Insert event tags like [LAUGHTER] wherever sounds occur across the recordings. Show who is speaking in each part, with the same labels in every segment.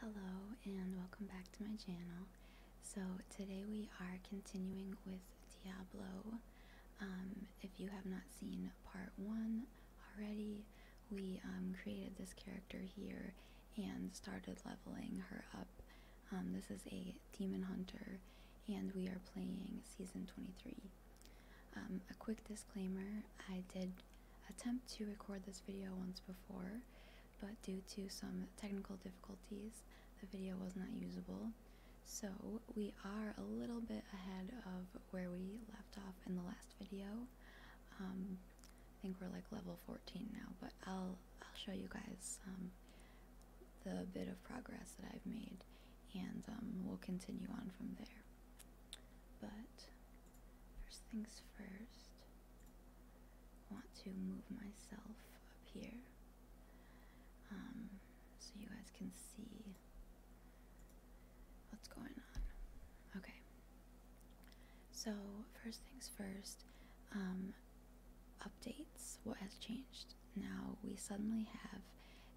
Speaker 1: Hello and welcome back to my channel. So today we are continuing with Diablo. Um, if you have not seen part one already, we um, created this character here and started leveling her up. Um, this is a demon hunter and we are playing season 23. a quick disclaimer, I did attempt to record this video once before, but due to some technical difficulties, the video was not usable. So we are a little bit ahead of where we left off in the last video. Um, I think we're like level 14 now, but I'll, I'll show you guys um, the bit of progress that I've made and um, we'll continue on from there. But first things first, want to move myself up here um, so you guys can see what's going on. Okay. So, first things first, um, updates, what has changed. Now we suddenly have,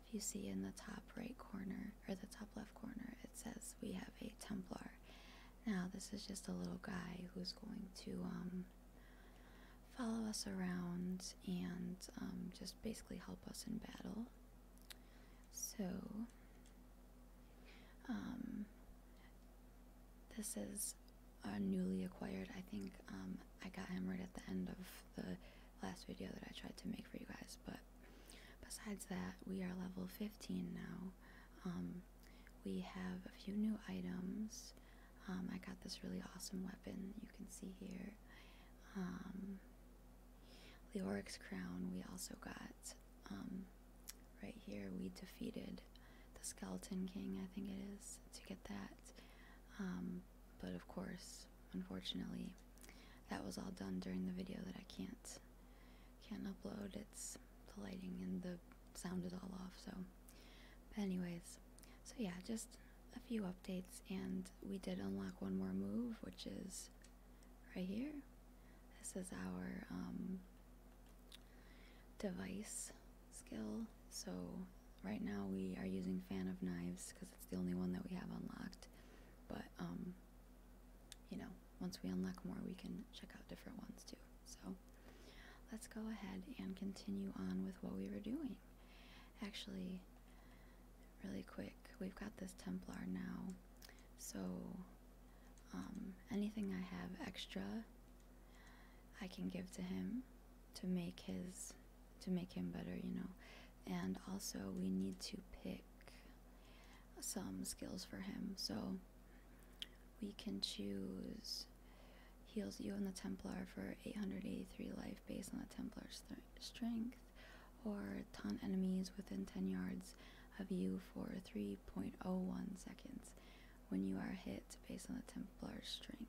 Speaker 1: if you see in the top right corner or the top left corner, it says we have a Templar. Now, this is just a little guy who's going to um, follow us around and um, just basically help us in battle. So, um, this is a newly acquired. I think I got him right at the end of the last video that I tried to make for you guys. But besides that, we are level 15 now we have a few new items. Um, I got this really awesome weapon you can see here. Um, the Oryx Crown we also got. Um, right here we defeated the Skeleton King, I think it is, to get that. but of course, unfortunately, that was all done during the video that I can't can't upload. It's the lighting and the sound is all off. So, anyways, so yeah, just a few updates, and we did unlock one more move, which is right here. This is our um, device skill. So right now we are using Fan of Knives because it's the only one that we have unlocked. But um, you know, once we unlock more, we can check out different ones too. So let's go ahead and continue on with what we were doing. Actually, really quick, we've got this Templar now. So um, anything I have extra, I can give to him to make his to make him better, you know. And also, we need to pick some skills for him. So we can choose heals you and the Templar for 883 life based on the Templar's strength, or taunt enemies within 10 yards of you for 3.01 seconds when you are hit based on the Templar's strength.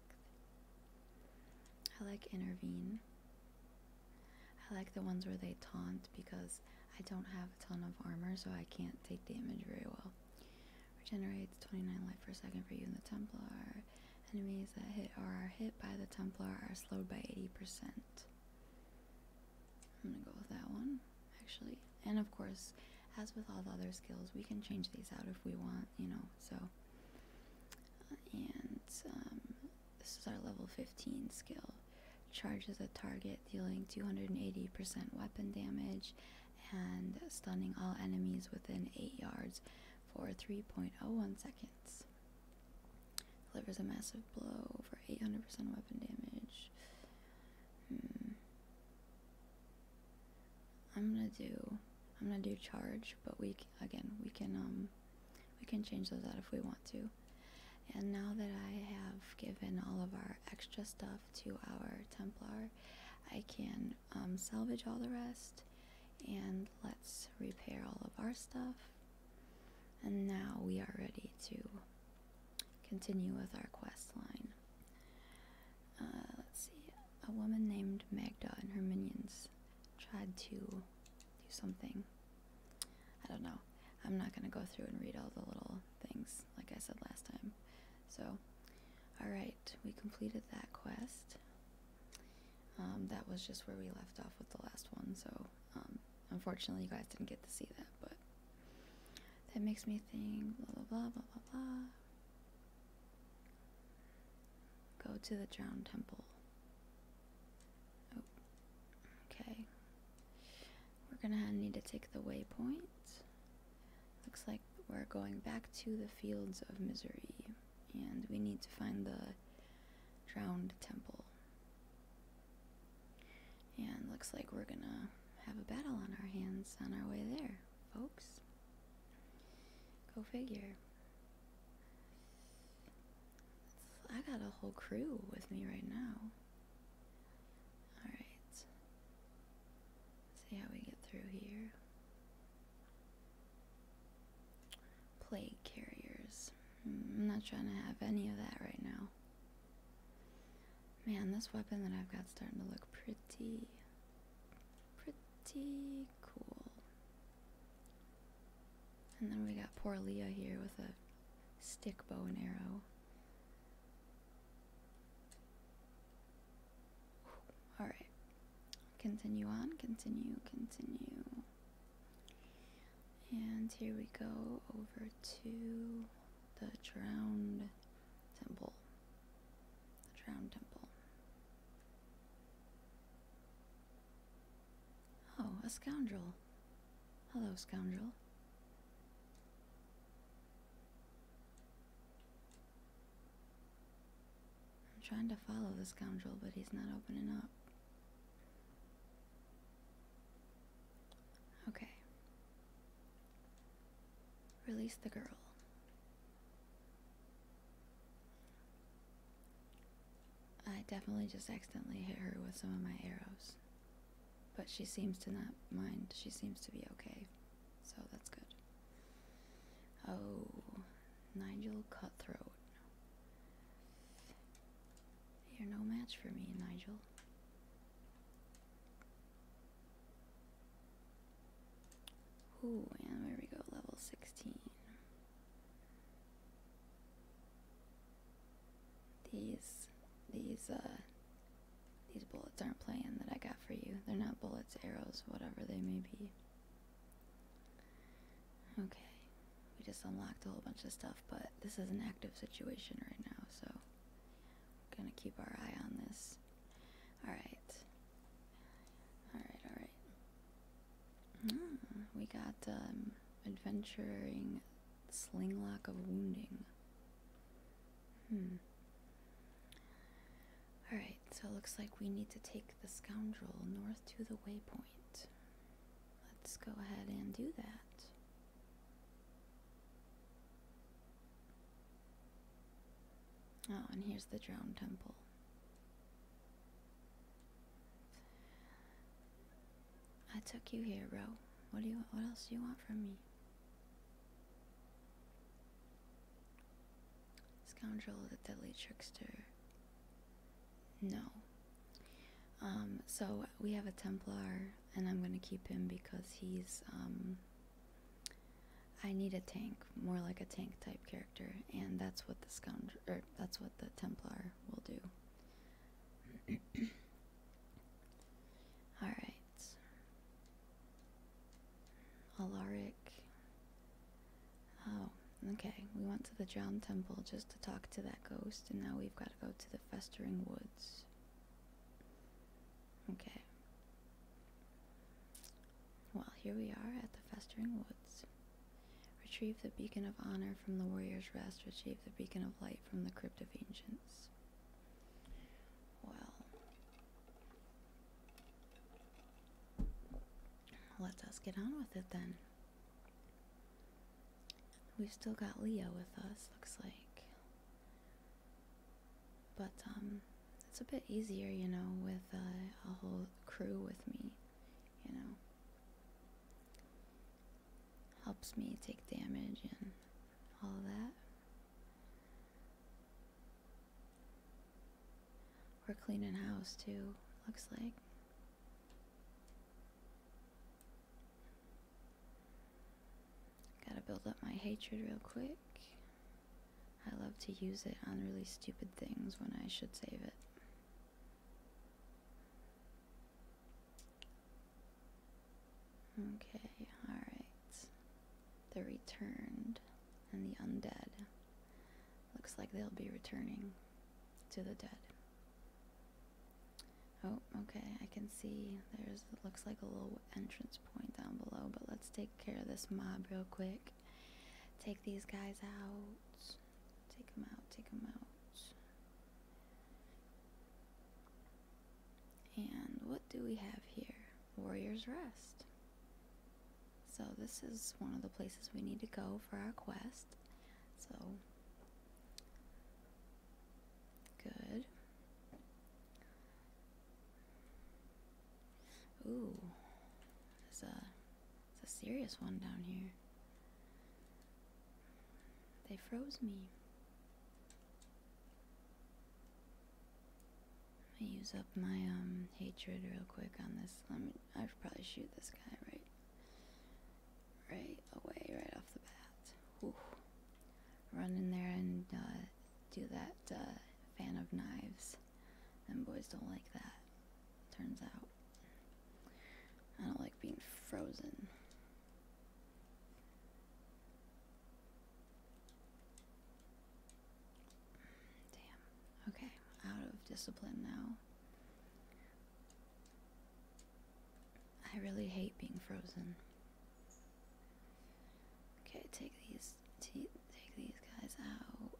Speaker 1: I like Intervene. I like the ones where they taunt because I don't have a ton of armor, so I can't take damage very well. Regenerates 29 life per second for you in the Templar. Enemies that hit or are hit by the Templar are slowed by 80%. I'm gonna go with that one, actually. And of course, as with all the other skills, we can change these out if we want, you know, so. And um, this is our level 15 skill. Charges a target, dealing 280% weapon damage and stunning all enemies within 8 yards for 3.01 seconds. Delivers a massive blow over 800% weapon damage. Hmm. I'm gonna do I'm gonna do charge, but we again we can um we can change those out if we want to. And now that I have given all of our extra stuff stuff to our Templar. I can um, salvage all the rest and let's repair all of our stuff. And now we are ready to continue with our quest line. Uh, let's see. A woman named Magda and her minions tried to do something. I don't know. I'm not going to go through and read all the little things like I said last time. So, alright, we completed that quest. Um, that was just where we left off with the last one, so um, unfortunately you guys didn't get to see that, but that makes me think blah blah blah blah blah blah. Go to the drowned temple. Oh, okay. We're gonna need to take the waypoint. Looks like we're going back to the fields of misery, and we need to find the drowned temple. And looks like we're gonna have a battle on our hands on our way there, folks. Go figure. I got a whole crew with me right now. Alright. See how we get through here. Plague carriers. Hmm, I'm not trying to have any of that right now. Man, this weapon that I've got starting to look pretty, pretty cool. And then we got poor Leah here with a stick bow and arrow. All right. Continue on, continue, continue. And here we go over to the drowned temple. The drowned temple. Oh, a scoundrel. Hello, scoundrel. I'm trying to follow the scoundrel, but he's not opening up. Okay. Release the girl. I definitely just accidentally hit her with some of my arrows. But she seems to not mind. She seems to be okay so that's good. Oh, Nigel Cutthroat. You're no match for me, Nigel. Ooh, and there we go, level 16. These, these, uh, these bullets aren't playing that I got for you. They're not bullets, arrows, whatever they may be. Okay. We just unlocked a whole bunch of stuff, but this is an active situation right now, so we're gonna keep our eye on this. Alright. Alright, alright. Hmm, we got um adventuring slinglock of wounding. Hmm. Alright, so it looks like we need to take the scoundrel north to the waypoint. Let's go ahead and do that. Oh, and here's the drowned temple. I took you here, bro. What do you? What else do you want from me? Scoundrel, the deadly trickster. No. Um, so we have a Templar, and I'm gonna keep him because he's. Um, I need a tank, more like a tank type character, and that's what the scoundrel, that's what the Templar will do. [CLEARS THROAT] All right. Alaric. Oh, okay. We went to the drowned temple just to talk to that ghost, and now we've got to go to the festering woods. Okay. Well, here we are at the festering woods. Retrieve the beacon of honor from the warrior's rest. Retrieve the beacon of light from the crypt of ancients. Well, let us get on with it then. We've still got Leo with us, looks like. But, um, it's a bit easier, you know, with uh, a whole crew with me, you know. Helps me take damage and all that. We're cleaning house too, looks like. Gotta build up my hatred real quick. I love to use it on really stupid things when I should save it. Okay, alright the returned and the undead. Looks like they'll be returning to the dead. Oh, okay, I can see there's looks like a little entrance point down below, but let's take care of this mob real quick. Take these guys out. Take them out, take them out. And what do we have here? Warrior's Rest. So this is one of the places we need to go for our quest. So good. Ooh, there's a serious one down here. They froze me. I use up my um, hatred real quick on this. Let me. I should probably shoot this guy right, right away, right off the bat. Run in there and uh, do that uh, fan of knives. And boys don't like that. Turns out. I don't like being frozen. Damn. Okay, out of discipline now. I really hate being frozen. Okay, take these take these guys out.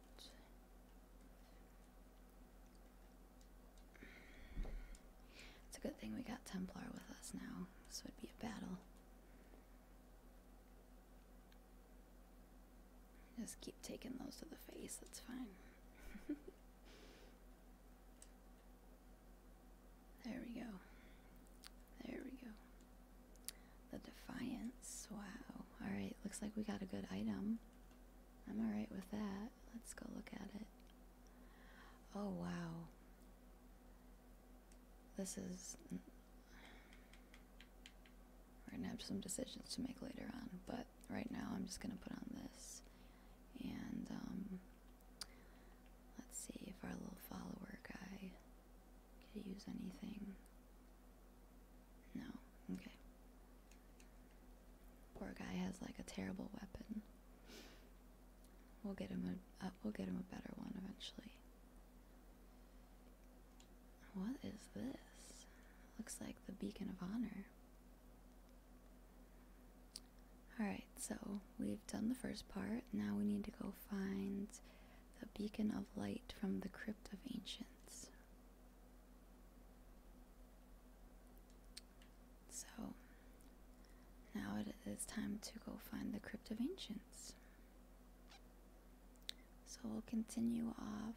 Speaker 1: It's a good thing we got Templar with us now. This would be a battle. Just keep taking those to the face, that's fine. [LAUGHS] there we go. There we go. The Defiance. Wow. Alright, looks like we got a good item. I'm alright with that. Let's go look at it. Oh, wow. This is. We're gonna have some decisions to make later on, but right now I'm just gonna put on this. And um, let's see if our little follower guy could use anything. No, okay. Poor guy has like a terrible weapon. We'll get him a uh, we'll get him a better one eventually. What is this? Looks like the Beacon of Honor. Alright, so we've done the first part. Now we need to go find the Beacon of Light from the Crypt of Ancients. So, now it is time to go find the Crypt of Ancients. So we'll continue off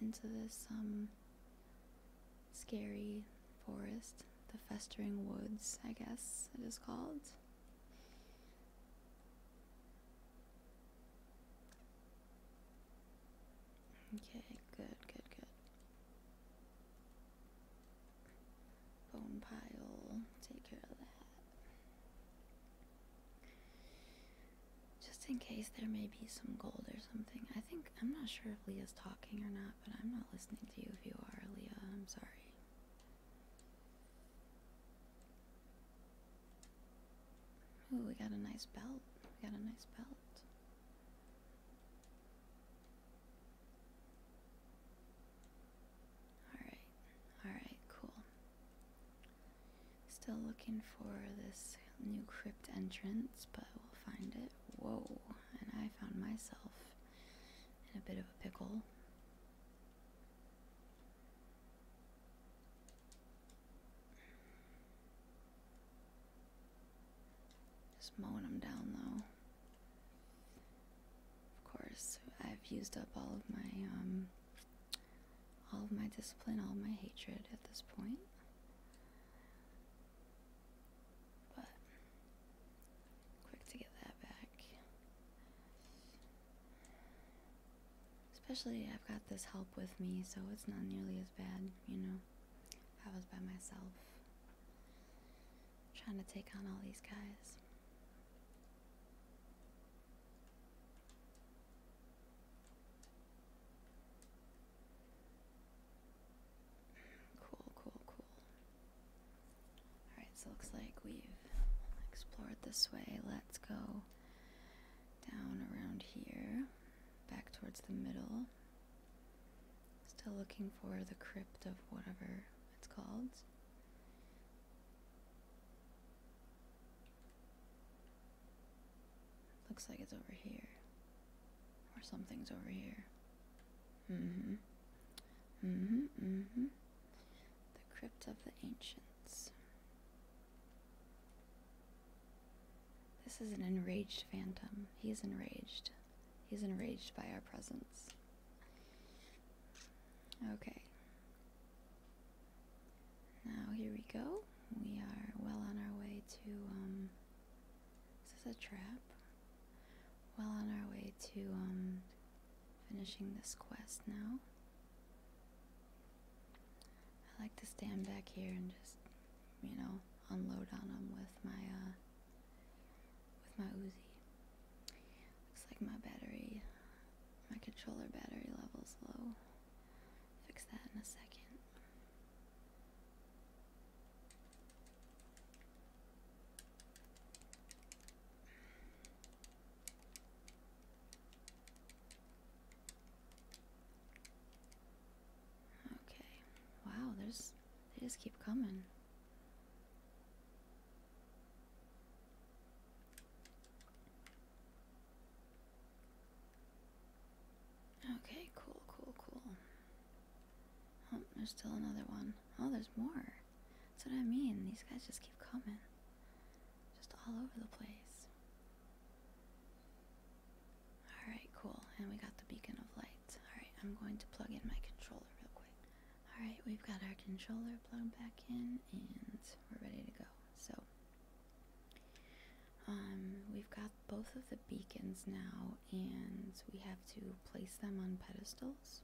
Speaker 1: into this um, scary forest, the festering woods, I guess it is called. Okay, good, good, good. Bone pile, take care of that just in case there may be some gold or something. I think I'm not sure if Leah's talking or not, but I'm not listening to you if you are, Leah. I'm sorry. Ooh, we got a nice belt. We got a nice belt. Alright, alright, cool. Still looking for this new crypt entrance, but we'll find it. Whoa, and I found myself in a bit of a pickle. Just mowing them down though. Of course, I've used up all of my um, all of my discipline, all of my hatred at this point. But quick to get that back. Especially I've got this help with me, so it's not nearly as bad, you know. I was by myself trying to take on all these guys. Cool, cool, cool. Alright, so looks like we've explored this way. Let's go down around here, back towards the middle. Still looking for the crypt of whatever it's called. Looks like it's over here. Or something's over here. Mm-hmm. Mm-hmm, mm-hmm. The Crypt of the Ancients. This is an enraged phantom. He's enraged. He's enraged by our presence. Okay. Now here we go. We are well on our way to, um, This is a trap? Well on our way to, um, finishing this quest now. I like to stand back here and just, you know, unload on them with my, uh, with my Uzi. Looks like my battery my controller battery level is low. Fix that in a second. Okay. Wow, there's they just keep coming. Okay, cool, cool, cool. Oh, there's still another one. Oh, there's more. That's what I mean. These guys just keep coming. Just all over the place. Alright, cool. And we got the beacon of light. Alright, I'm going to plug in my controller real quick. Alright, we've got our controller plugged back in and we're ready to go. So, um, we've got both of the beacons now, and we have to place them on pedestals.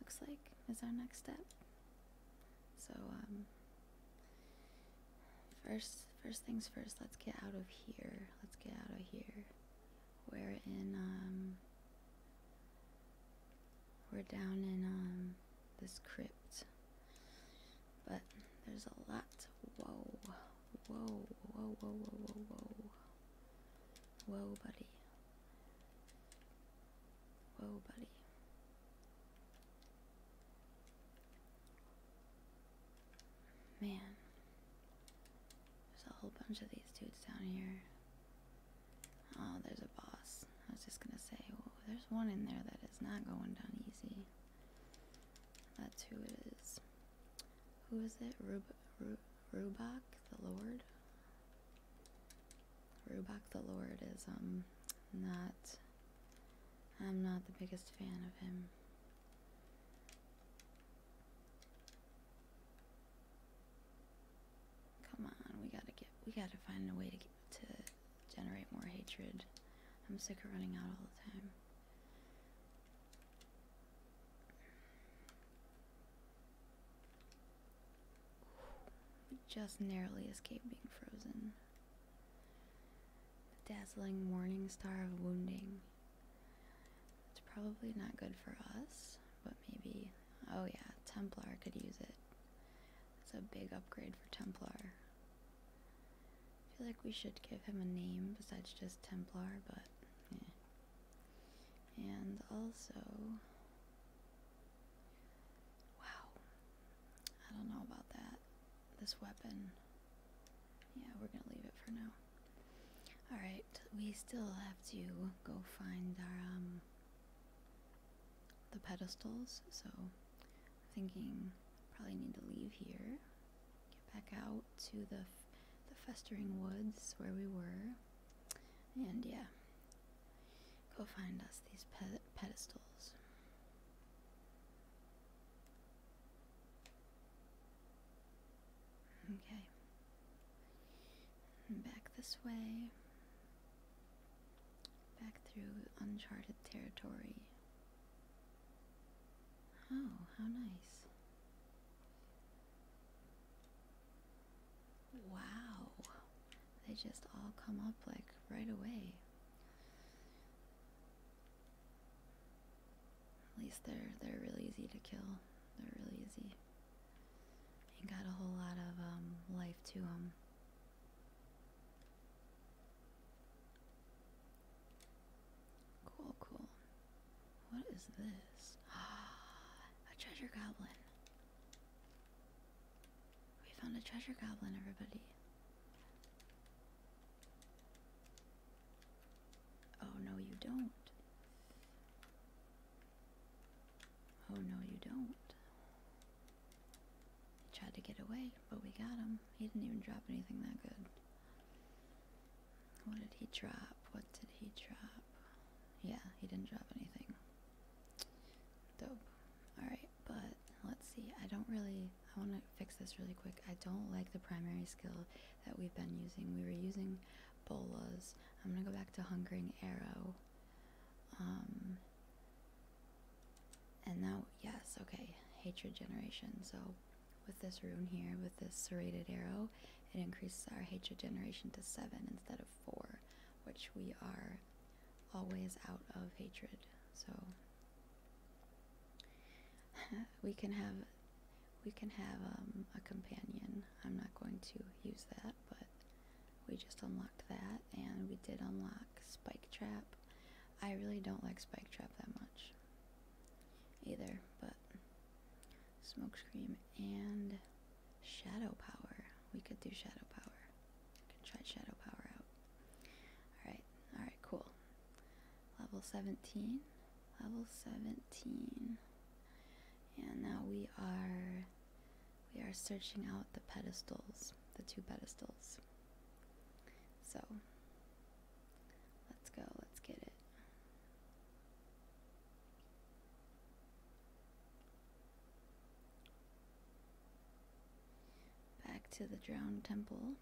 Speaker 1: Looks like is our next step. So, um, first, first things first. Let's get out of here. Let's get out of here. We're in. Um, we're down in this crypt. But there's a lot. Whoa, whoa, whoa, whoa, whoa, whoa, whoa. Whoa, buddy. Whoa, buddy. Man. There's a whole bunch of these dudes down here. Oh, there's a boss. I was just gonna say, well, there's one in there that is not going down easy. That's who it is. Who is it? Rub Ru Rubach the Lord? Rubach the Lord is, um, not. I'm not the biggest fan of him. Come on, we gotta get. We gotta find a way to get to generate more hatred. I'm sick of running out all the time. We just narrowly escaped being frozen. The dazzling morning star of wounding. It's probably not good for us, but maybe. Oh, yeah, Templar could use it. It's a big upgrade for Templar. I feel like we should give him a name besides just Templar, but eh. And also, wow, I don't know about that. This weapon, yeah, we're gonna leave it for now. All right, we still have to go find our um the pedestals, so thinking probably need to leave here, get back out to the the festering woods where we were, and yeah, go find us these pedestals. Okay. back this way. Back through uncharted territory. Oh, how nice. Wow. They just all come up like right away. At least they're they're really easy to kill. They're really easy. Ain't got a whole lot of um, life to them. Cool, cool. What is this? Ah, [GASPS] a treasure goblin. We found a treasure goblin, everybody. Oh, no, you don't. Oh, no, you don't. He Tried to get away, but we got him. He didn't even drop anything that good. What did he drop? What did he drop? Yeah, he didn't drop anything. Dope. Alright, but let's see. I don't really... I want to fix this really quick. I don't like the primary skill that we've been using. We were using bolas. I'm going to go back to Hungering Arrow. Um, and now, yes, okay, hatred generation. So with this rune here, with this serrated arrow, it increases our hatred generation to 7 instead of 4, which we are always out of hatred. So [LAUGHS] we can have we can have um, a companion. I'm not going to use that, but we just unlocked that, and we did unlock Spike Trap, I really don't like Spike Trap that much either, but smokescreen and Shadow Power. We could do Shadow Power. I could try Shadow Power out. Alright, alright, cool. Level 17. Level 17. And now we are we are searching out the pedestals, the two pedestals. So Let's go, let's get it. Back to the drowned temple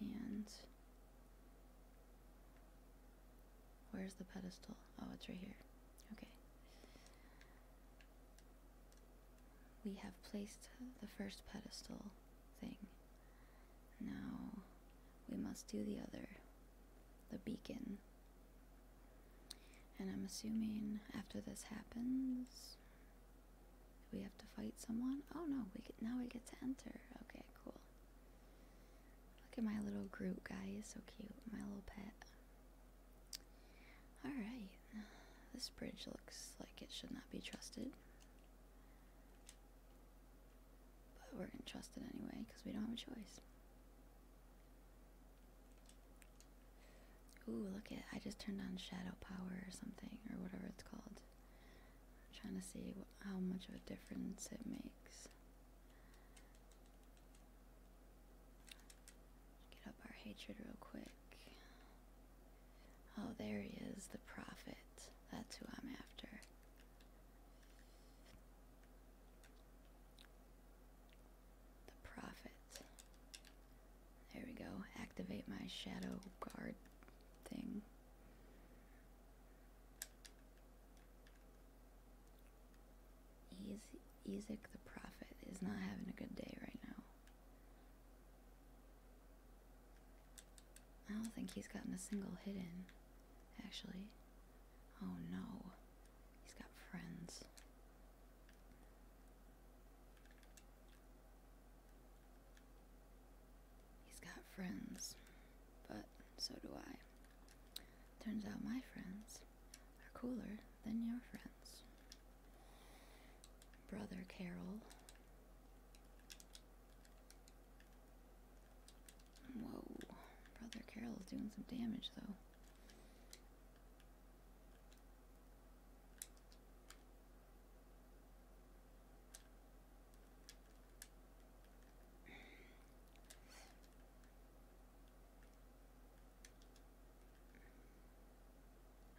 Speaker 1: and where's the pedestal? Oh, it's right here. Okay we have placed the first pedestal thing. Now we must do the other, the beacon. And I'm assuming after this happens, we have to fight someone. Oh no, we get, now we get to enter. Okay, cool. Look at my little group guy, he's so cute, my little pet. Alright, this bridge looks like it should not be trusted. But we're going to trust it anyway because we don't have a choice. Ooh, look at I just turned on shadow power or something or whatever it's called. trying to see how much of a difference it makes. Get up our hatred real quick. Oh, there he is, the prophet. That's who I'm after. The prophet. There we go. Activate my shadow guard thing. Ezek the prophet is not having a good day right now. I don't think he's gotten a single hit in, actually. Oh no, he's got friends. He's got friends, but so do I. Turns out my friends are cooler than your friends. Brother Carol. Whoa, Brother Carol is doing some damage though.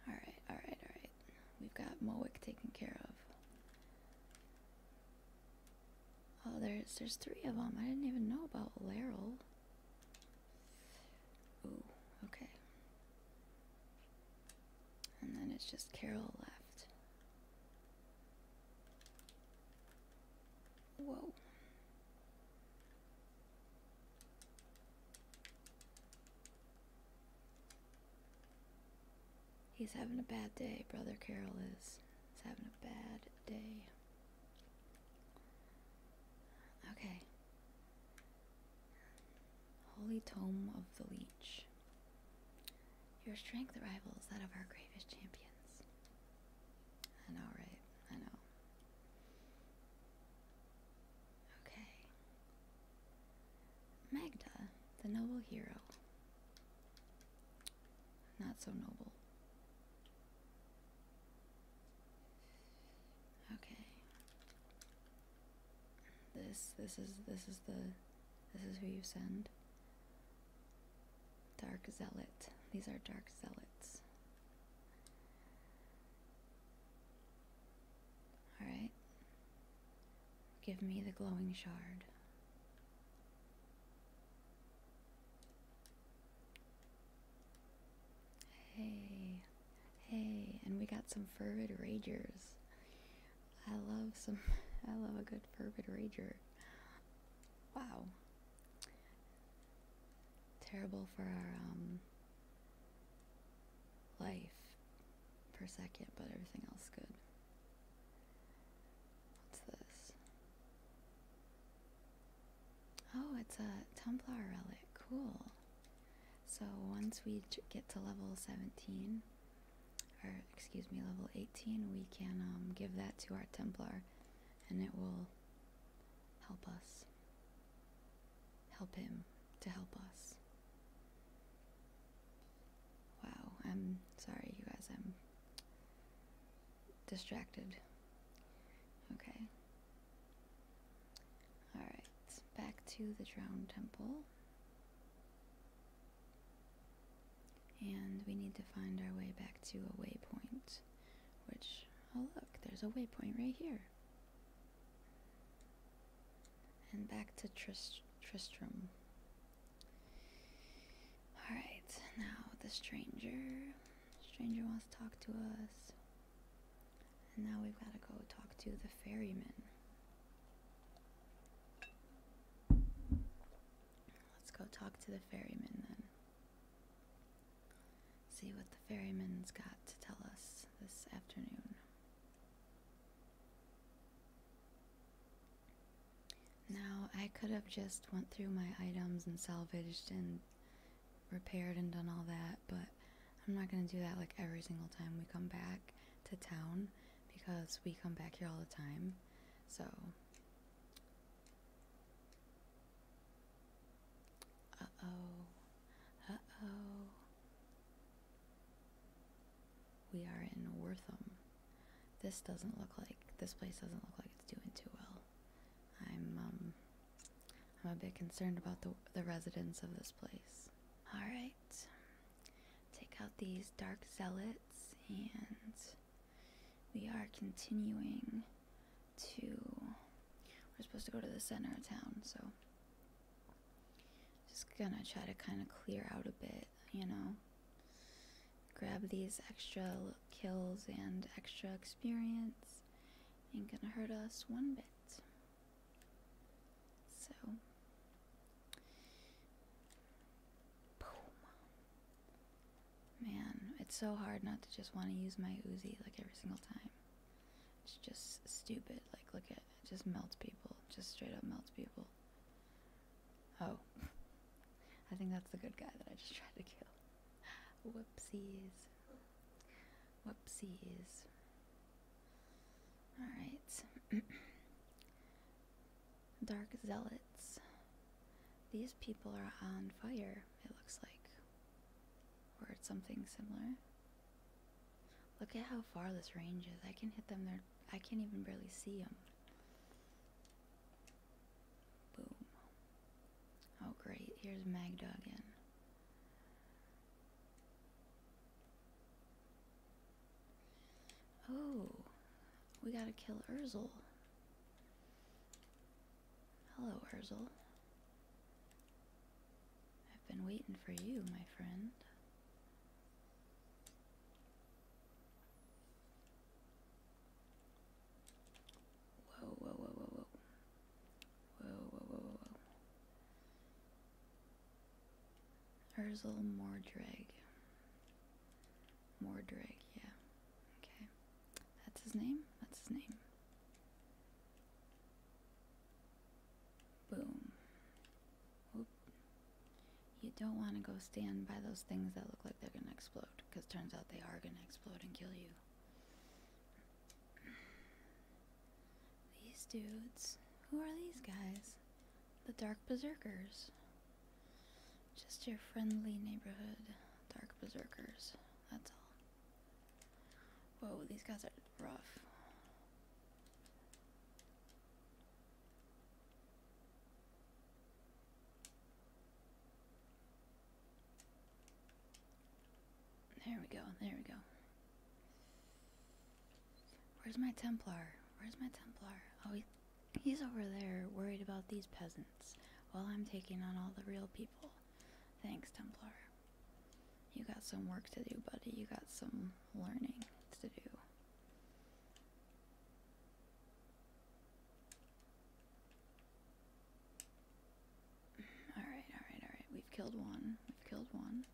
Speaker 1: All right, all right, all right. We've got Mowick taken care of. Oh, there's there's three of them. I didn't even know about Laryl. Oh, okay. And then it's just Carol left. Whoa. He's having a bad day, Brother Carol is. He's having a bad day. Okay. Holy Tome of the Leech. Your strength rivals that of our greatest champions. I know, right? I know. Okay. Magda, the noble hero. Not so noble. Okay. This this is this is the this is who you send. Dark zealot. These are dark zealots. Alright. Give me the glowing shard. Hey. Hey, and we got some fervid ragers. I love some [LAUGHS] I love a good fervid rager. Wow. Terrible for our um, life per second, but everything else good. What's this? Oh, it's a Templar relic. Cool. So once we get to level 17, or excuse me, level 18, we can um, give that to our Templar and it will help us. Help him to help us. Wow, I'm sorry, you guys, I'm distracted. Okay. Alright, back to the Drowned Temple. And we need to find our way back to a waypoint, which, oh look, there's a waypoint right here. And back to Tristram. Alright, now the stranger. Stranger wants to talk to us. And now we've got to go talk to the ferryman. Let's go talk to the ferryman then. See what the ferryman's got to tell us this afternoon. Now, I could have just went through my items and salvaged and repaired and done all that, but I'm not going to do that like every single time we come back to town because we come back here all the time. So, uh-oh. Uh-oh. We are in Wortham. This doesn't look like this place doesn't look like it's doing too well. I'm um, I'm a bit concerned about the the residents of this place. All right. Take out these dark zealots and we are continuing to we're supposed to go to the center of town, so just gonna try to kind of clear out a bit you know, grab these extra kills and extra experience. Ain't gonna hurt us one bit. So, Man, it's so hard not to just want to use my Uzi like every single time. It's just stupid. Like, look at it just melts people. Just straight up melts people. Oh. I think that's the good guy that I just tried to kill. Whoopsies. Whoopsies. Alright. [CLEARS THROAT] Dark Zealots. These people are on fire, it looks like. Or something similar. Look at how far this range is. I can hit them there I can't even barely see him. Boom. Oh, great. Here's Magda again. Oh, we gotta kill Urzel. Hello, Urzel. I've been waiting for you, my friend. Whoa, whoa, whoa, whoa, whoa. Whoa, whoa, whoa, whoa, whoa. Urzel Mordrag. Mordrag, yeah. Okay. That's his name? That's his name. Boom. Oop. You don't want to go stand by those things that look like they're going to explode, because turns out they are going to explode and kill you. These dudes. Who are these guys? The Dark Berserkers. Just your friendly neighborhood Dark Berserkers. That's all. Whoa, these guys are rough. There we go, there we go. Where's my Templar? Where's my Templar? Oh, he's over there worried about these peasants while I'm taking on all the real people. Thanks, Templar. You got some work to do, buddy. You got some learning to do. Alright, alright, alright. We've killed one. We've killed one.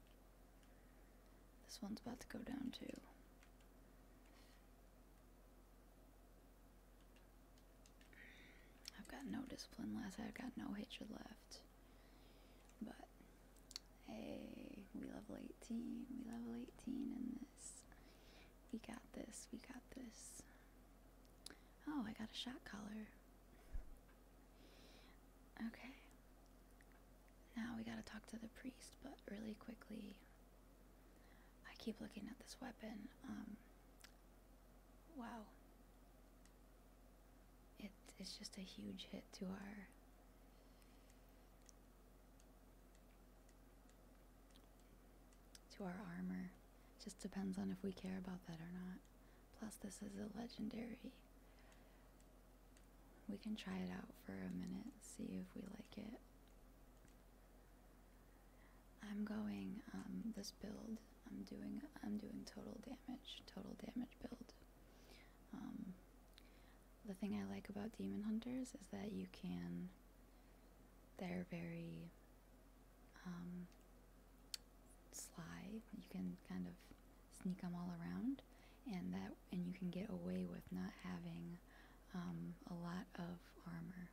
Speaker 1: This one's about to go down too. I've got no discipline left. I've got no hatred left. But, hey, we level 18. We level 18 in we got this. We got this. Oh, I got a shot collar. Okay. Now we gotta talk to the priest, but really quickly. I keep looking at this weapon. Um, wow. It is just a huge hit to our to our armor. Just depends on if we care about that or not. Plus, this is a legendary. We can try it out for a minute, see if we like it. I'm going um, this build. I'm doing I'm doing total damage, total damage build. Um, the thing I like about Demon Hunters is that you can. They're very um, sly. You can kind of sneak them all around, and that and you can get away with not having um, a lot of armor.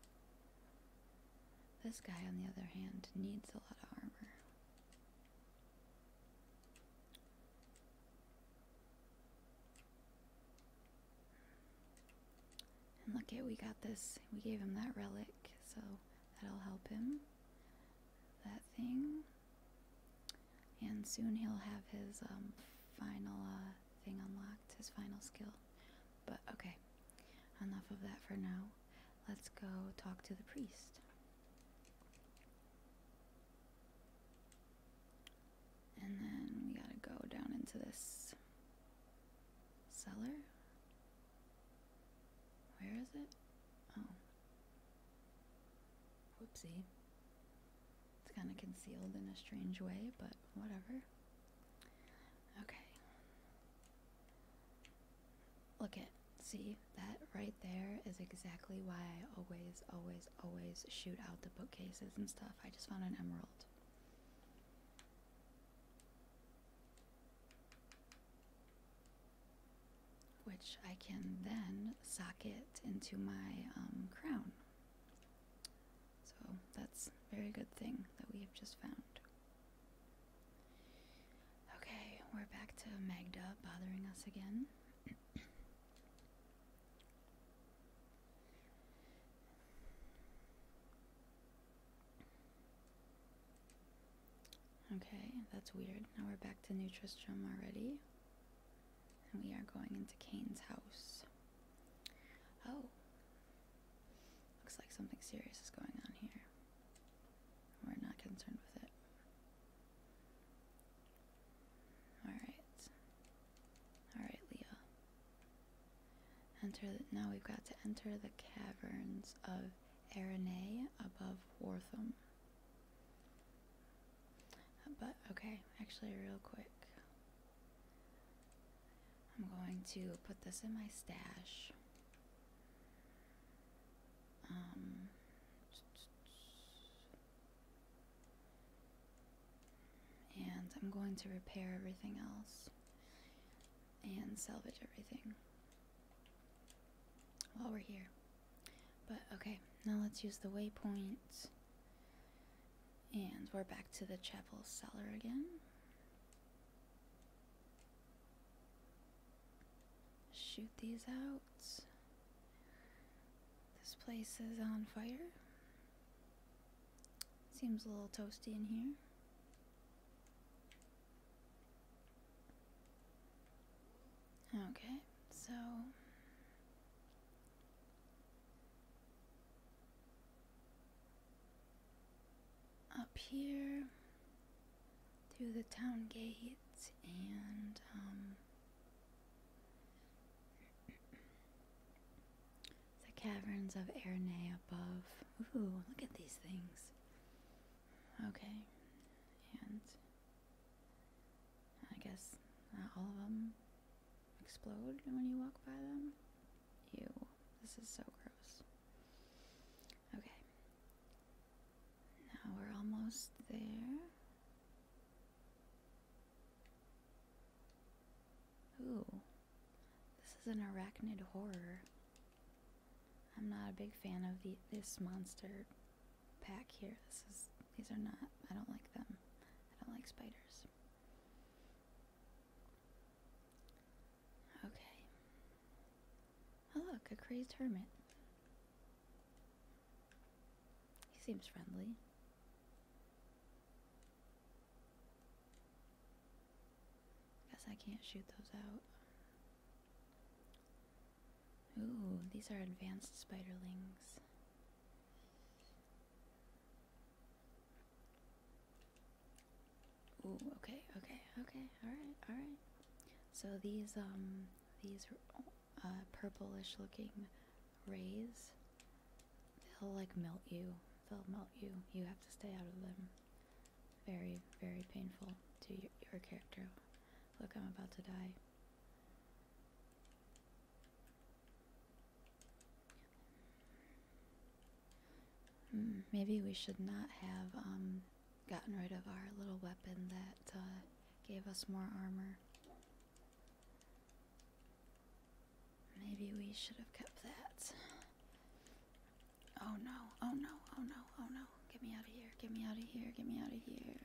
Speaker 1: This guy, on the other hand, needs a lot of armor. And look at we got this. We gave him that relic, so that'll help him. That thing. And soon he'll have his um, final uh, thing unlocked, his final skill. But okay, enough of that for now. Let's go talk to the priest. And then we gotta go down into this cellar. Where is it? Oh. Whoopsie. It's kind of concealed in a strange way, but whatever. Okay. Look at, see, that right there is exactly why I always, always, always shoot out the bookcases and stuff. I just found an emerald which I can then socket into my um, crown. So that's a very good thing that we have just found. Okay, we're back to Magda bothering us again. Okay, that's weird. Now we're back to Nutristrum already. And we are going into Kane's house. Oh. Looks like something serious is going on here. We're not concerned with it. Alright. Alright, Leah. Enter now we've got to enter the caverns of Aranay above Wartham. Uh, but okay, actually real quick. I'm going to put this in my stash. Um, and I'm going to repair everything else and salvage everything while we're here. But okay, now let's use the waypoint. And we're back to the chapel cellar again. Shoot these out. This place is on fire. Seems a little toasty in here. Okay, so up here through the town gates and um, the caverns of Erne above. Ooh, look at these things. Okay. And I guess not all of them explode when you walk by them. Ew, this is so gross. Okay. Now we're almost there. Ooh. This is an arachnid horror. I'm not a big fan of the this monster pack here. This is these are not I don't like them. I don't like spiders. Okay. Oh look, a crazed hermit. He seems friendly. Guess I can't shoot those out. Ooh, these are advanced spiderlings. Ooh, okay, okay, okay, alright, alright. So these, um, these uh, purplish looking rays they'll like melt you. They'll melt you. You have to stay out of them. Very, very painful to your, character. Look, I'm about to die. Hmm, maybe we should not have um, gotten rid of our little weapon that uh, gave us more armor. Maybe we should have kept that. Oh no, oh no, oh no, oh no. Get me out of here, get me out of here, get me out of here.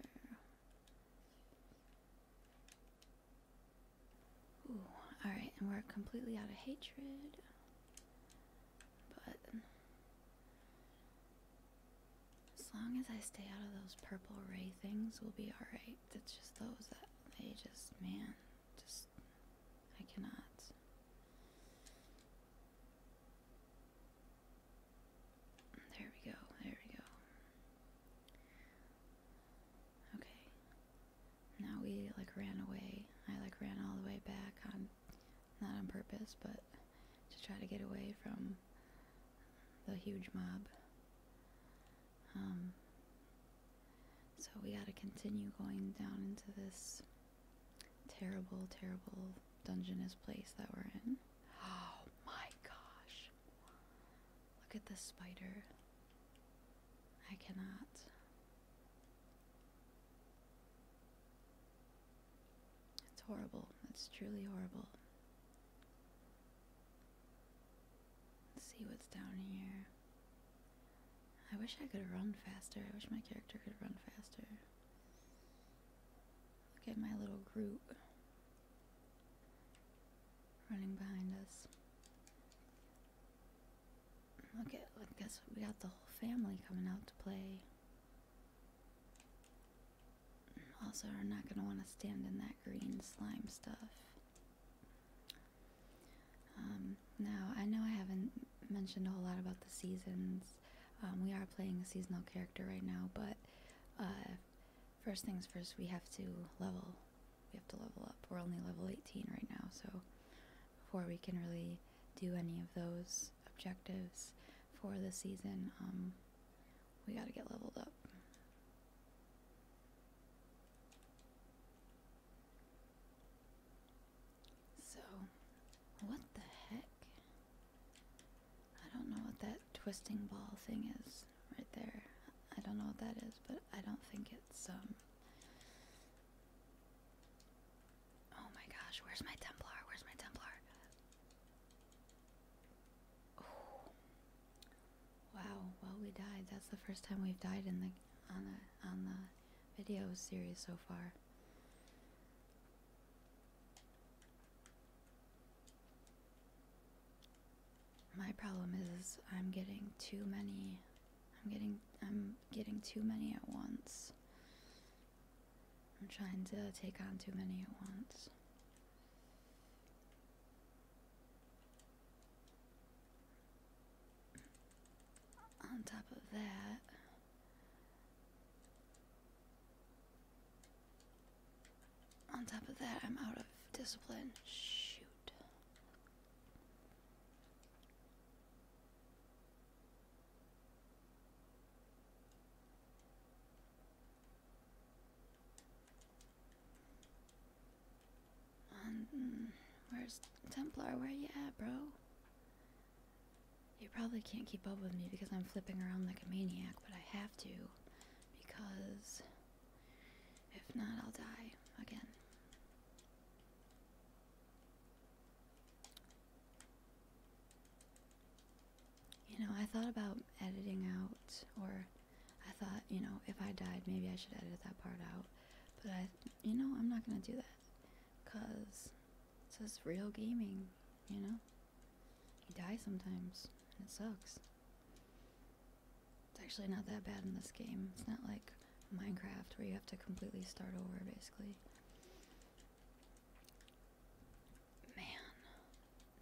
Speaker 1: Ooh, alright, and we're completely out of hatred. But as long as I stay out of those purple ray things, we'll be alright. It's just those that they just, man, just I cannot. There we go. There we go. Okay. Now we like ran away. I like ran all the way back on not on purpose, but to try to get away from the huge mob. Um, so we gotta continue going down into this terrible, terrible dungeness place that we're in. Oh my gosh. Look at this spider. I cannot. It's horrible. It's truly horrible. Let's see what's down here. I wish I could run faster. I wish my character could run faster. Look at my little group running behind us. Look at, I guess we got the whole family coming out to play. Also, we're not going to want to stand in that green slime stuff. Um, now, I know I haven't mentioned a whole lot about the seasons. Um, we are playing a seasonal character right now, but uh, first things first, we have to level. We have to level up. We're only level 18 right now, so before we can really do any of those objectives for the season, um, we gotta get leveled up. So, what the heck? I don't know what that twisting ball thing is right there. I don't know what that is, but I don't think it's, um, Oh my gosh, where's my Templar? Where's my Templar? Wow, well we died. That's the first time we've died in the on the on the video series so far. My problem is I'm getting too many I'm getting I'm getting too many at once. I'm trying to take on too many at once on top of that, on top of that, I'm out of discipline. Shoot. Um, where's Templar? Where you at, bro? You probably can't keep up with me because I'm flipping around like a maniac, but I have to because if not, I'll die again. You know, I thought about editing out, or I thought, you know, if I died, maybe I should edit that part out. But I, you know, I'm not gonna do that because it's just real gaming, you know? You die sometimes, and it sucks. It's actually not that bad in this game. It's not like Minecraft where you have to completely start over, basically. Man,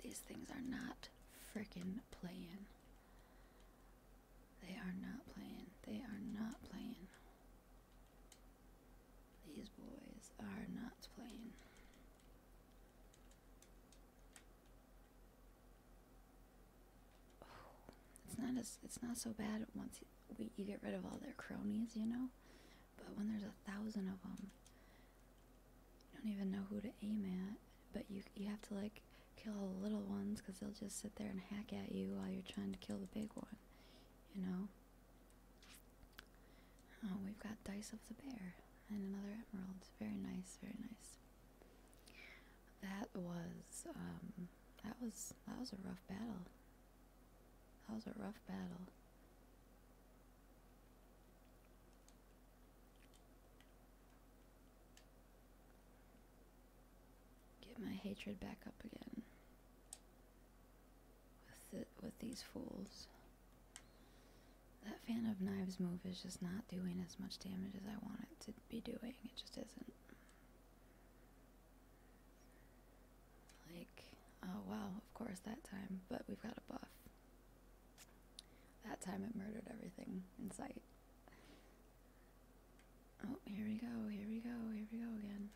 Speaker 1: these things are not freaking playing. They are not playing. They are not playing. These boys are not playing. Oh, it's not as it's not so bad once you, get rid of all their cronies, you know. But when there's a thousand of them, you don't even know who to aim at. But you you have to like kill all the little ones because they'll just sit there and hack at you while you're trying to kill the big one you know? Oh, we've got Dice of the Bear and another emerald. Very nice, very nice. That was, um, that was, that was a rough battle. That was a rough battle. Get my hatred back up again. With, the, with these fools. That fan of Knives move is just not doing as much damage as I want it to be doing. It just isn't. Like, oh wow, of course that time, but we've got a buff. That time it murdered everything in sight. Oh, here we go, here we go, here we go again.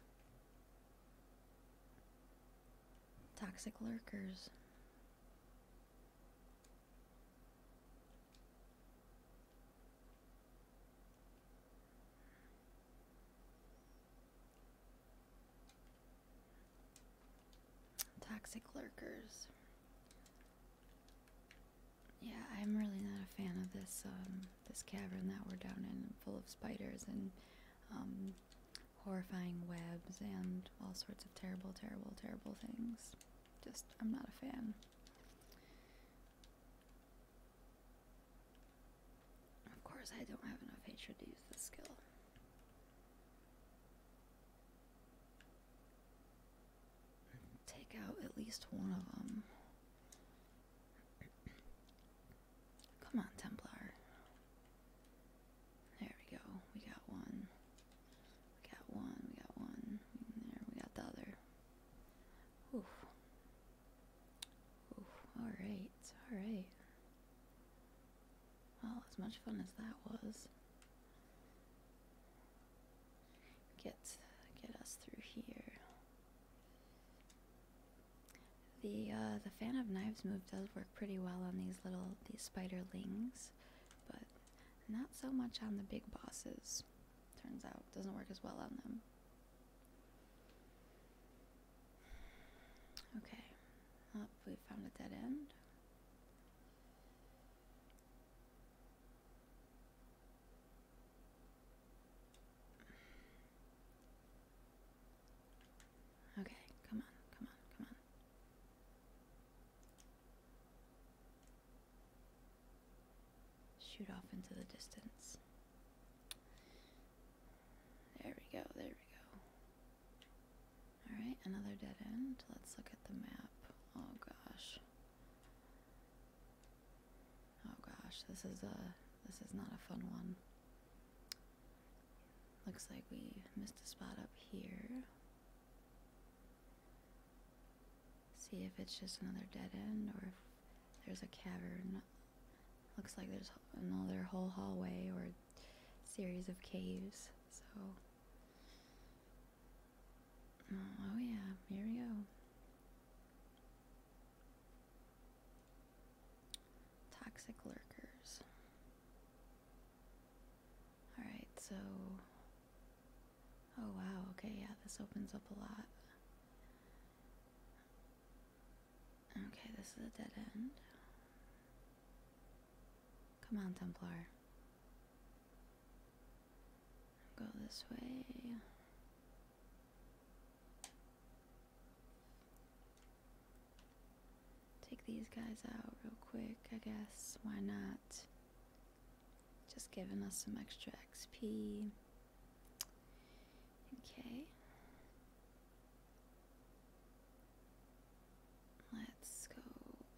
Speaker 1: Toxic lurkers. Toxic lurkers. Yeah, I'm really not a fan of this um, this cavern that we're down in, full of spiders and um, horrifying webs and all sorts of terrible, terrible, terrible things. Just, I'm not a fan. Of course, I don't have enough hatred to use this skill. Take out at least one of them. Come on, Templar. There we go. We got one. We got one. We got one. There, we got the other. Oof. Oof. Alright. Alright. Well, as much fun as that was. Get, get us through here. The uh, the fan of knives move does work pretty well on these little these spiderlings, but not so much on the big bosses. Turns out doesn't work as well on them. Okay, we found a dead end. Okay, come on, come on, come on. Shoot off into the distance. There we go, there we go. Alright, another dead end. Let's look at the map. Oh gosh. Oh gosh, this is a this is not a fun one. Looks like we missed a spot up here. See if it's just another dead end or if there's a cavern. Looks like there's another whole hallway or series of caves. So mm, Oh yeah, here we go. Toxic lurkers. Alright, so. Oh wow, okay, yeah, this opens up a lot. Okay, this is a dead end. Come on, Templar. Go this way. Take these guys out real quick, I guess. Why not? Just giving us some extra XP. Okay. Let's go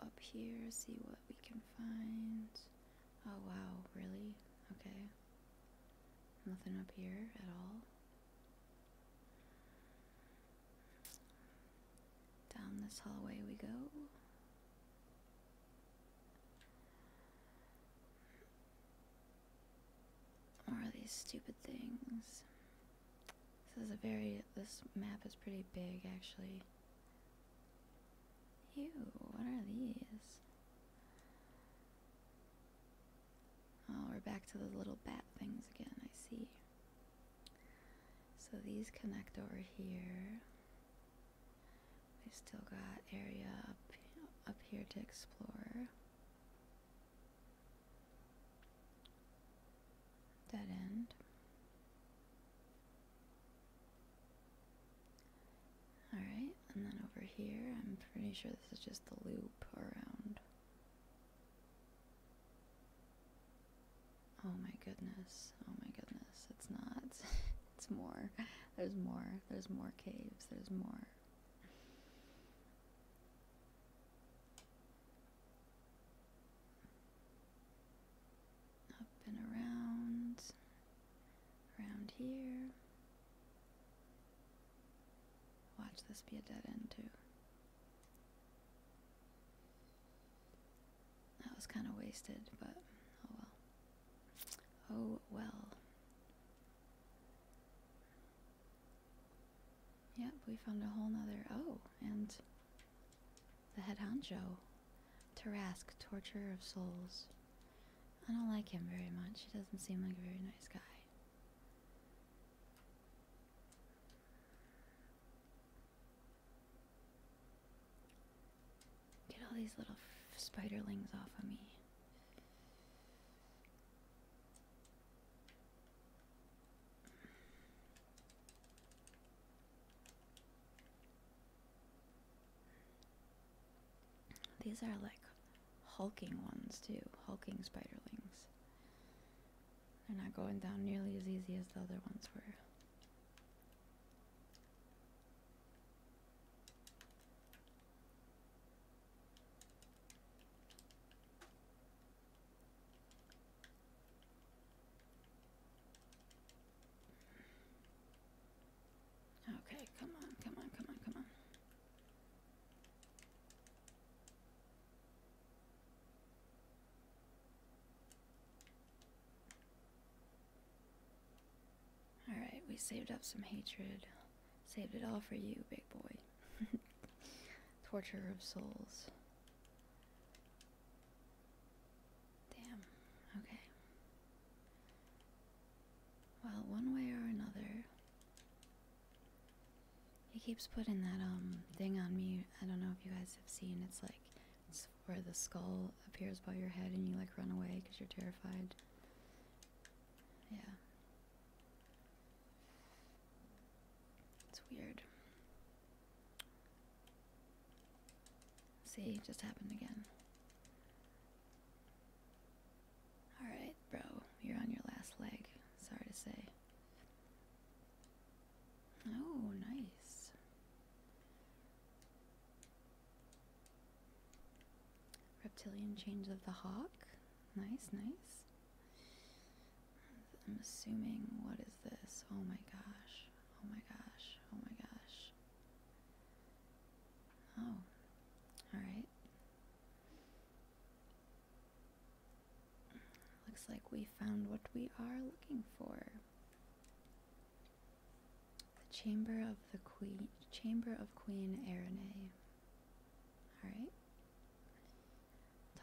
Speaker 1: up here, see what we can find. Oh wow, really? Okay. Nothing up here at all. Down this hallway we go. More of these stupid things. This is a very, this map is pretty big actually. Ew, what are these? Oh, we're back to the little bat things again, I see. So these connect over here. We've still got area up, up here to explore. Dead end. Alright, and then over here, I'm pretty sure this is just the loop around. Oh my goodness, oh my goodness, it's not. [LAUGHS] it's more. There's more. There's more caves, there's more. Up and around. Around here. Watch this be a dead end too. That was kind of wasted, but oh well. Oh well. Yep, we found a whole nother. Oh, and the head honcho. Tarask, torturer of souls. I don't like him very much. He doesn't seem like a very nice guy. Get all these little spiderlings off of me. These are like hulking ones too, hulking spiderlings. They're not going down nearly as easy as the other ones were. Okay, come on, come on, come on, come on. Alright, we saved up some hatred. Saved it all for you, big boy. [LAUGHS] Torture of souls. Damn. Okay. Well, one way or another, he keeps putting that um thing on me. I don't know if you guys have seen. It's like it's where the skull appears above your head and you like run away because you're terrified. Yeah. It's weird. See, just happened again. Alright, bro, you're on your last leg. Sorry to say. Oh, nice. Reptilian change of the hawk. Nice, nice. I'm assuming, what is this? Oh my gosh. Oh my gosh. Oh my gosh. Oh. Alright. Looks like we found what we are looking for. The chamber of the queen, chamber of Queen Erine. All right.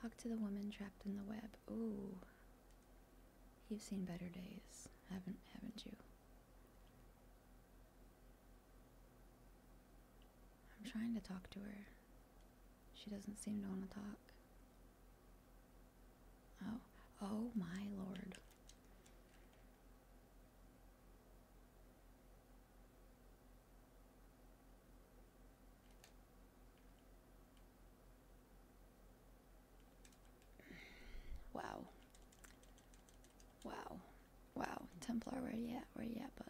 Speaker 1: Talk to the woman trapped in the web. Ooh, you've seen better days, haven't haven't you? I'm trying to talk to her. She doesn't seem to want to talk. Oh, oh my lord. Wow. Wow. Wow. Templar, where you at? Where you at, bud?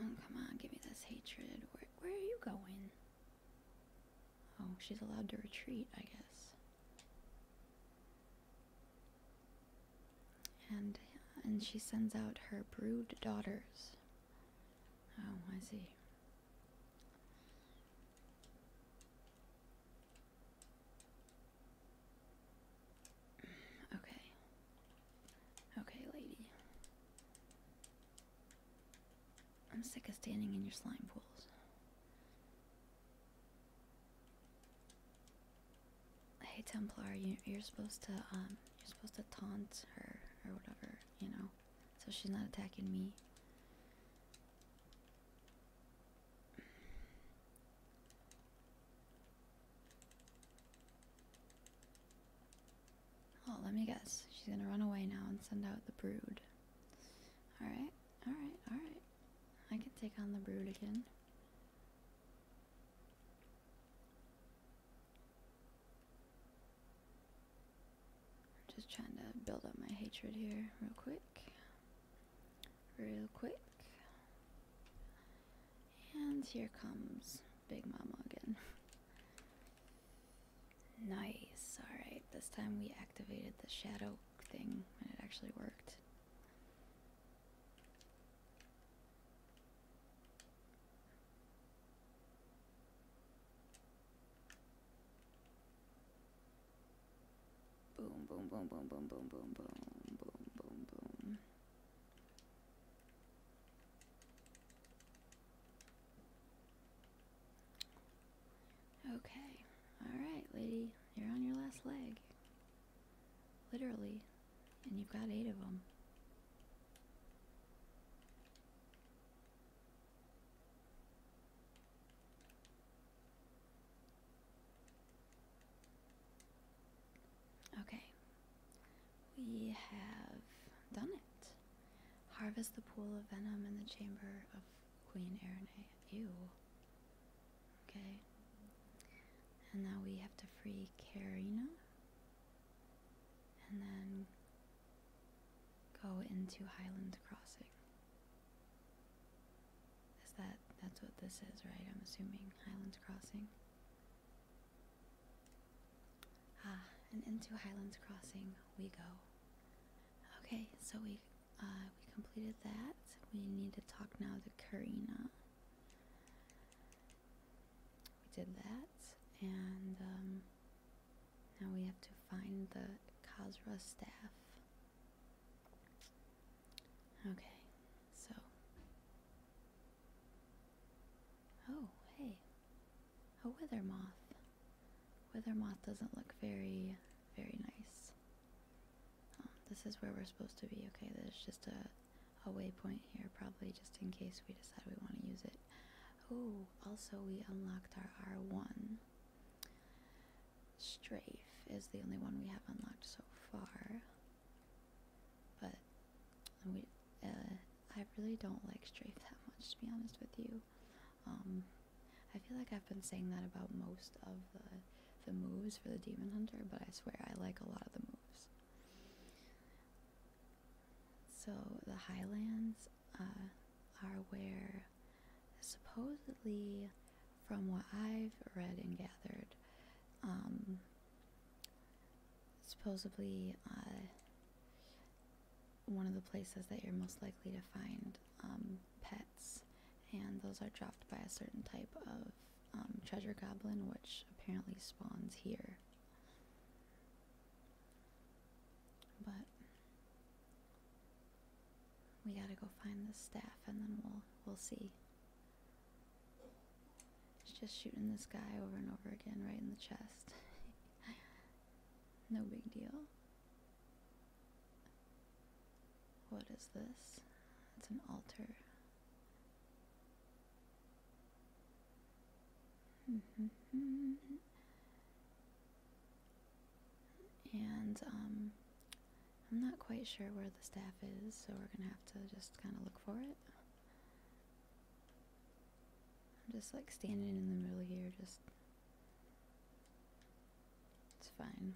Speaker 1: Oh, come on, give me this hatred. Where, are you going? Oh, she's allowed to retreat, I guess. And, and she sends out her brood daughters. Oh, I see. Okay. Okay, lady. I'm sick of standing in your slime pools. Hey Templar, you, are supposed to um, you're supposed to taunt her or whatever, you know, so she's not attacking me. Oh, let me guess. She's gonna run away now and send out the brood. Alright, alright, alright. I can take on the brood again. Just trying to build up my hatred here real quick real quick. And here comes Big Mama again. [LAUGHS] nice, alright, this time we activated the shadow thing and it actually worked. Boom, boom, boom, boom, boom, boom, boom, boom, boom, boom, boom. Okay. Alright, lady. You're on your last leg. Literally. And you've got eight of them. Okay, we have done it. Harvest the pool of venom in the chamber of Queen Erine. Ew. Okay. And now we have to free Karina. And then go into Highland Crossing. Is that that's what this is, right? I'm assuming Highlands Crossing. Ah, and into Highlands Crossing we go. Okay, so we uh, we completed that. We need to talk now to Karina. We did that, and um, now we have to find the Kazra staff. Okay, so. Oh, hey. A wither moth. Wither moth doesn't look very, very nice. Um, this is where we're supposed to be. Okay, this is just a, a waypoint here, probably just in case we decide we want to use it. Oh, also we unlocked our R1. Strafe is the only one we have unlocked so far. But we, uh, I really don't like Strafe that much, to be honest with you. Um, I feel like I've been saying that about most of the, the moves for the Demon Hunter, but I swear I like a lot of the moves. So the Highlands uh, are where supposedly from what I've read and gathered, um, supposedly uh, one of the places that you're most likely to find um, pets, and those are dropped by a certain type of um, treasure goblin, which apparently spawns here. But we gotta go find the staff, and then we'll we'll see. It's just shooting this guy over and over again right in the chest. [LAUGHS] no big deal. What is this? It's an altar. [LAUGHS] and um, I'm not quite sure where the staff is, so we're gonna have to just kind of look for it. I'm just like standing in the middle here, just. It's fine.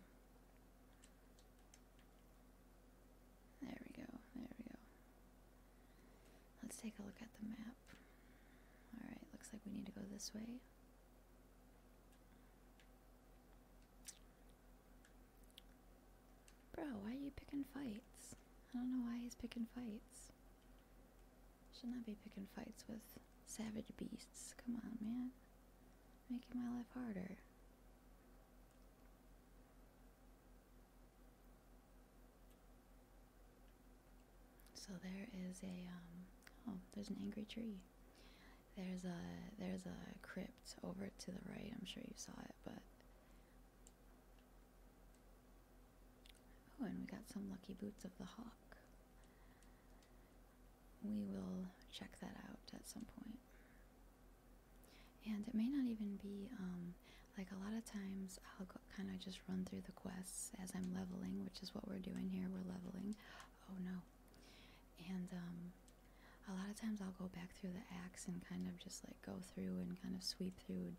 Speaker 1: There we go, there we go. Let's take a look at the map. Alright, looks like we need to go this way. Bro, why are you picking fights? I don't know why he's picking fights. Should not I be picking fights with savage beasts. Come on, man. Making my life harder. So there is a, um, oh, there's an angry tree. There's a there's a crypt over to the right. I'm sure you saw it, but oh, and we got some lucky boots of the hawk. We will check that out at some point. And it may not even be um, like a lot of times I'll kind of just run through the quests as I'm leveling, which is what we're doing here. We're leveling. Oh no. And um, a lot of times I'll go back through the acts and kind of just like go through and kind of sweep through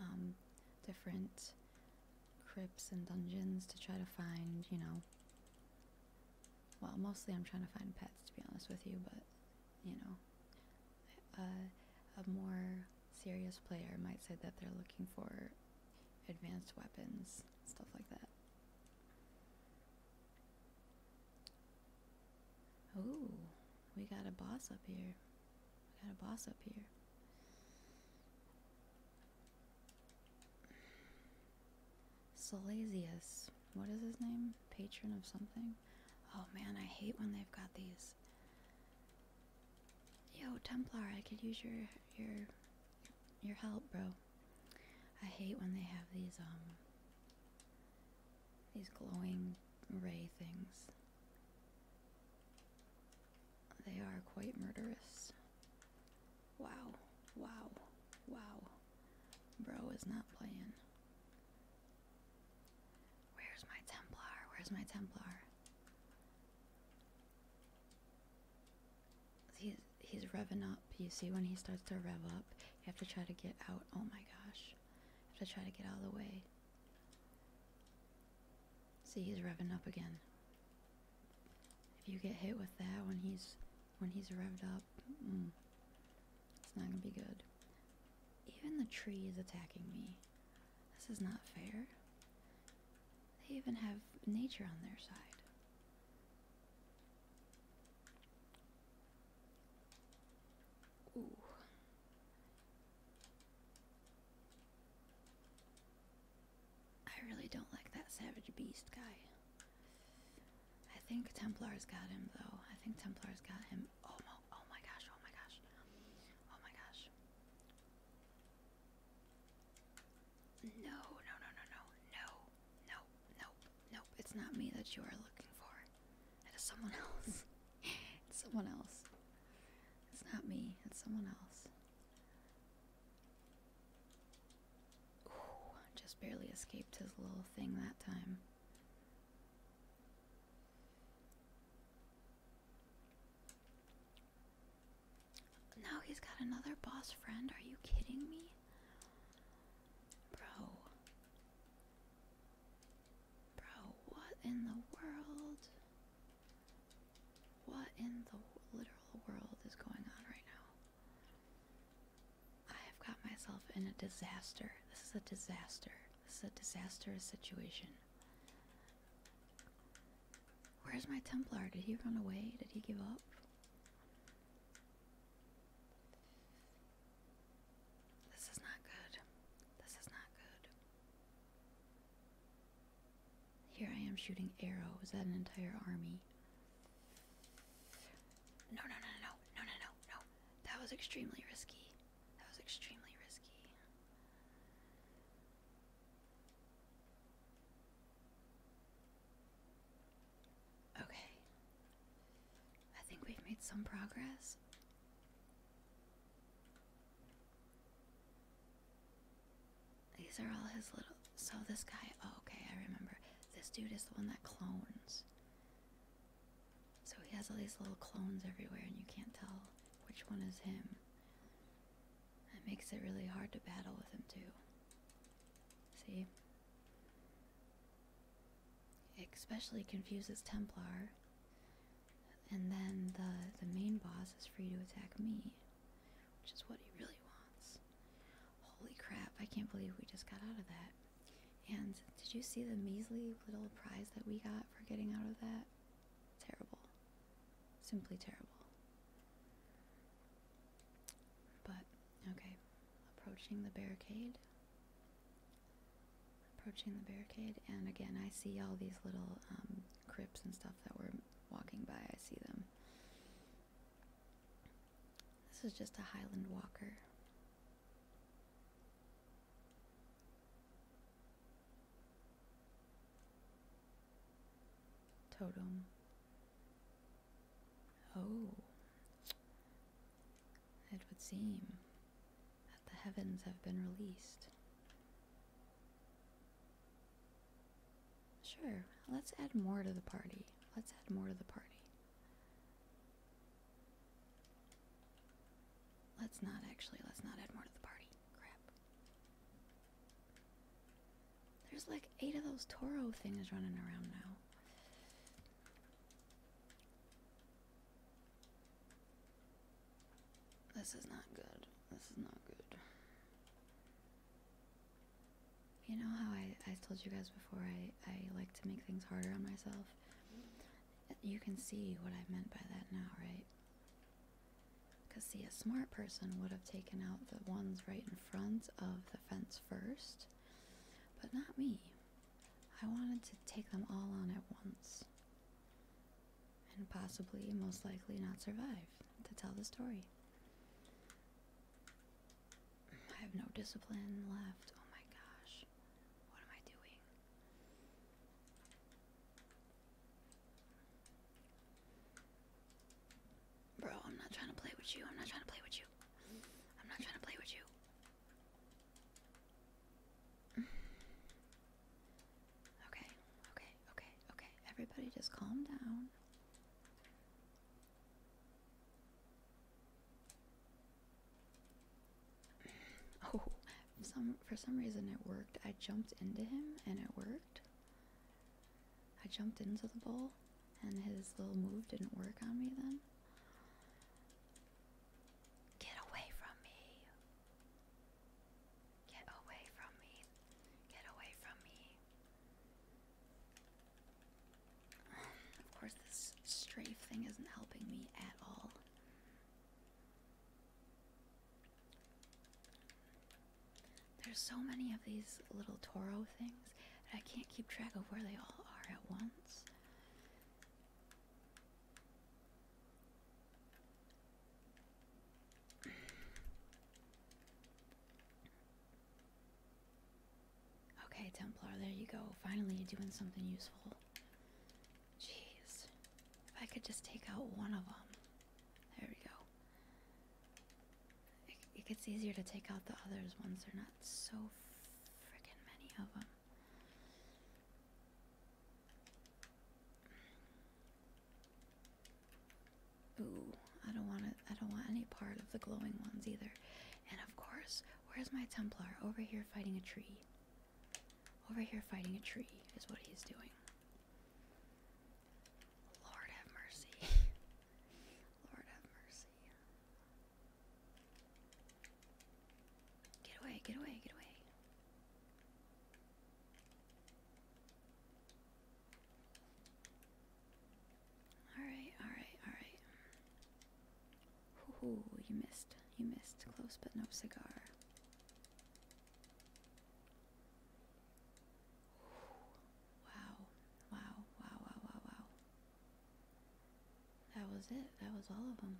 Speaker 1: um, different crypts and dungeons to try to find, you know, well, mostly I'm trying to find pets to be honest with you, but you know, a more serious player might say that they're looking for advanced weapons, stuff like that. Oh, we got a boss up here. We got a boss up here. Salesius. What is his name? Patron of something? Oh man, I hate when they've got these. Yo, Templar, I could use your your your help, bro. I hate when they have these um these glowing ray things. They are quite murderous. Wow, wow, wow. Bro is not playing. Where's my Templar? Where's my Templar? He's he's revving up. You see when he starts to rev up, you have to try to get out. Oh my gosh. You have to try to get out of the way. See, he's revving up again. If you get hit with that when he's when he's revved up, mm, it's not gonna be good. Even the tree is attacking me. This is not fair. They even have nature on their side. I really don't like that savage beast guy. I think templar got him though. I think templar got him. Oh my, oh my gosh, oh my gosh. Oh my gosh. No, no, no, no, no, no, no nope, nope, it's not me that you are looking for. It is someone else. [LAUGHS] it's someone else. It's not me, it's someone else. Ooh, just barely escaped his little thing that time. Now he's got another boss friend. Are you kidding me? Bro, Bro, what in the world? What in the literal world is going on right now? I have got myself in a disaster. This is a disaster. This is a disastrous situation. Where's my Templar? Did he run away? Did he give up? This is not good. This is not good. Here I am shooting arrows at an entire army. No, no, no, no, no, no, no, no. That was extremely risky. That was extremely risky. Okay. I think we've made some progress. These are all his little. So this guy. Oh, okay, I remember. This dude is the one that clones. So he has all these little clones everywhere, and you can't tell which one is him. It makes it really hard to battle with him, too. See? especially confuses Templar. And then the, the main boss is free to attack me, which is what he really wants. Holy crap, I can't believe we just got out of that. And did you see the measly little prize that we got for getting out of that? Terrible. Simply terrible. But, okay. Approaching the barricade. Approaching the barricade, and again, I see all these little um, crypts and stuff that we're walking by. I see them. This is just a Highland Walker. Totem. Oh it would seem, that the heavens have been released. Sure, let's add more to the party. Let's add more to the party. Let's not actually, let's not add more to the party. Crap. There's like eight of those Toro things running around now. This is not good. This is not good. You know how I, I told you guys before I, I like to make things harder on myself? You can see what I meant by that now, right? Because, see, a smart person would have taken out the ones right in front of the fence first, but not me. I wanted to take them all on at once. And possibly, most likely, not survive to tell the story. I have no discipline left. Oh my gosh. What am I doing? Bro, I'm not trying to play with you. I'm not trying to play with you. I'm not trying to play with you. Okay, okay, okay, okay. Everybody just calm down. [LAUGHS] Oh, some for some reason it worked. I jumped into him and it worked. I jumped into the bowl and his little move didn't work on me then. Get away from me. Get away from me. Get away from me. Of course, this strafe thing isn't helping me at all. There's so many of these little Toro things that I can't keep track of where they all are at once. Okay, Templar, there you go. Finally, you're doing something useful. Jeez. If I could just take out one of them. There we go. It, gets easier to take out the others once they're not so freaking many of them. Ooh, I don't want it. I don't want any part of the glowing ones either. And of course, where's my Templar? Over here fighting a tree. Over here fighting a tree is what he's doing. Lord have mercy. [LAUGHS] Lord have mercy. Get away, get away, get away. Alright, alright, alright. Ooh, you missed. You missed. Close but no cigar. Wow. Wow, wow, wow, wow, wow. That was it. That was all of them.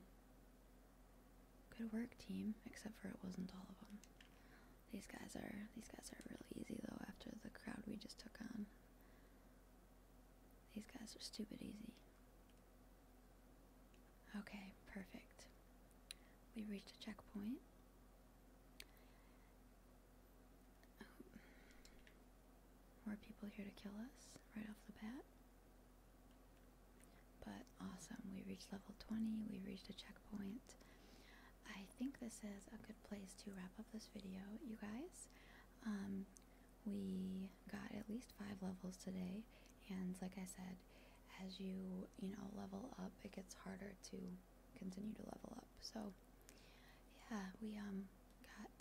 Speaker 1: Good work, team. Except for it wasn't all of them. These guys are these guys are really easy though. After the crowd we just took on, these guys are stupid easy. Okay, perfect. We reached a checkpoint. Oh. More people here to kill us right off the bat. But awesome, we reached level 20, we reached a checkpoint. I think this is a good place to wrap up this video, you guys. Um, we got at least five levels today, and like I said, as you, you know, level up, it gets harder to continue to level up. So, yeah, we um, got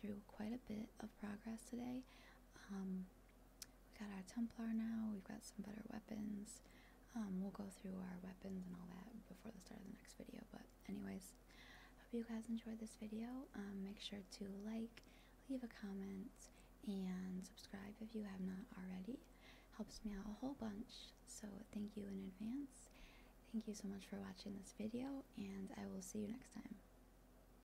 Speaker 1: through quite a bit of progress today. Um, we got our Templar now. We've got some better weapons. Um, we'll go through our weapons and all that before the start of the next video. But anyways, hope you guys enjoyed this video. Um, make sure to like, leave a comment, and subscribe if you have not already. Helps me out a whole bunch. So thank you in advance. Thank you so much for watching this video, and I will see you next time.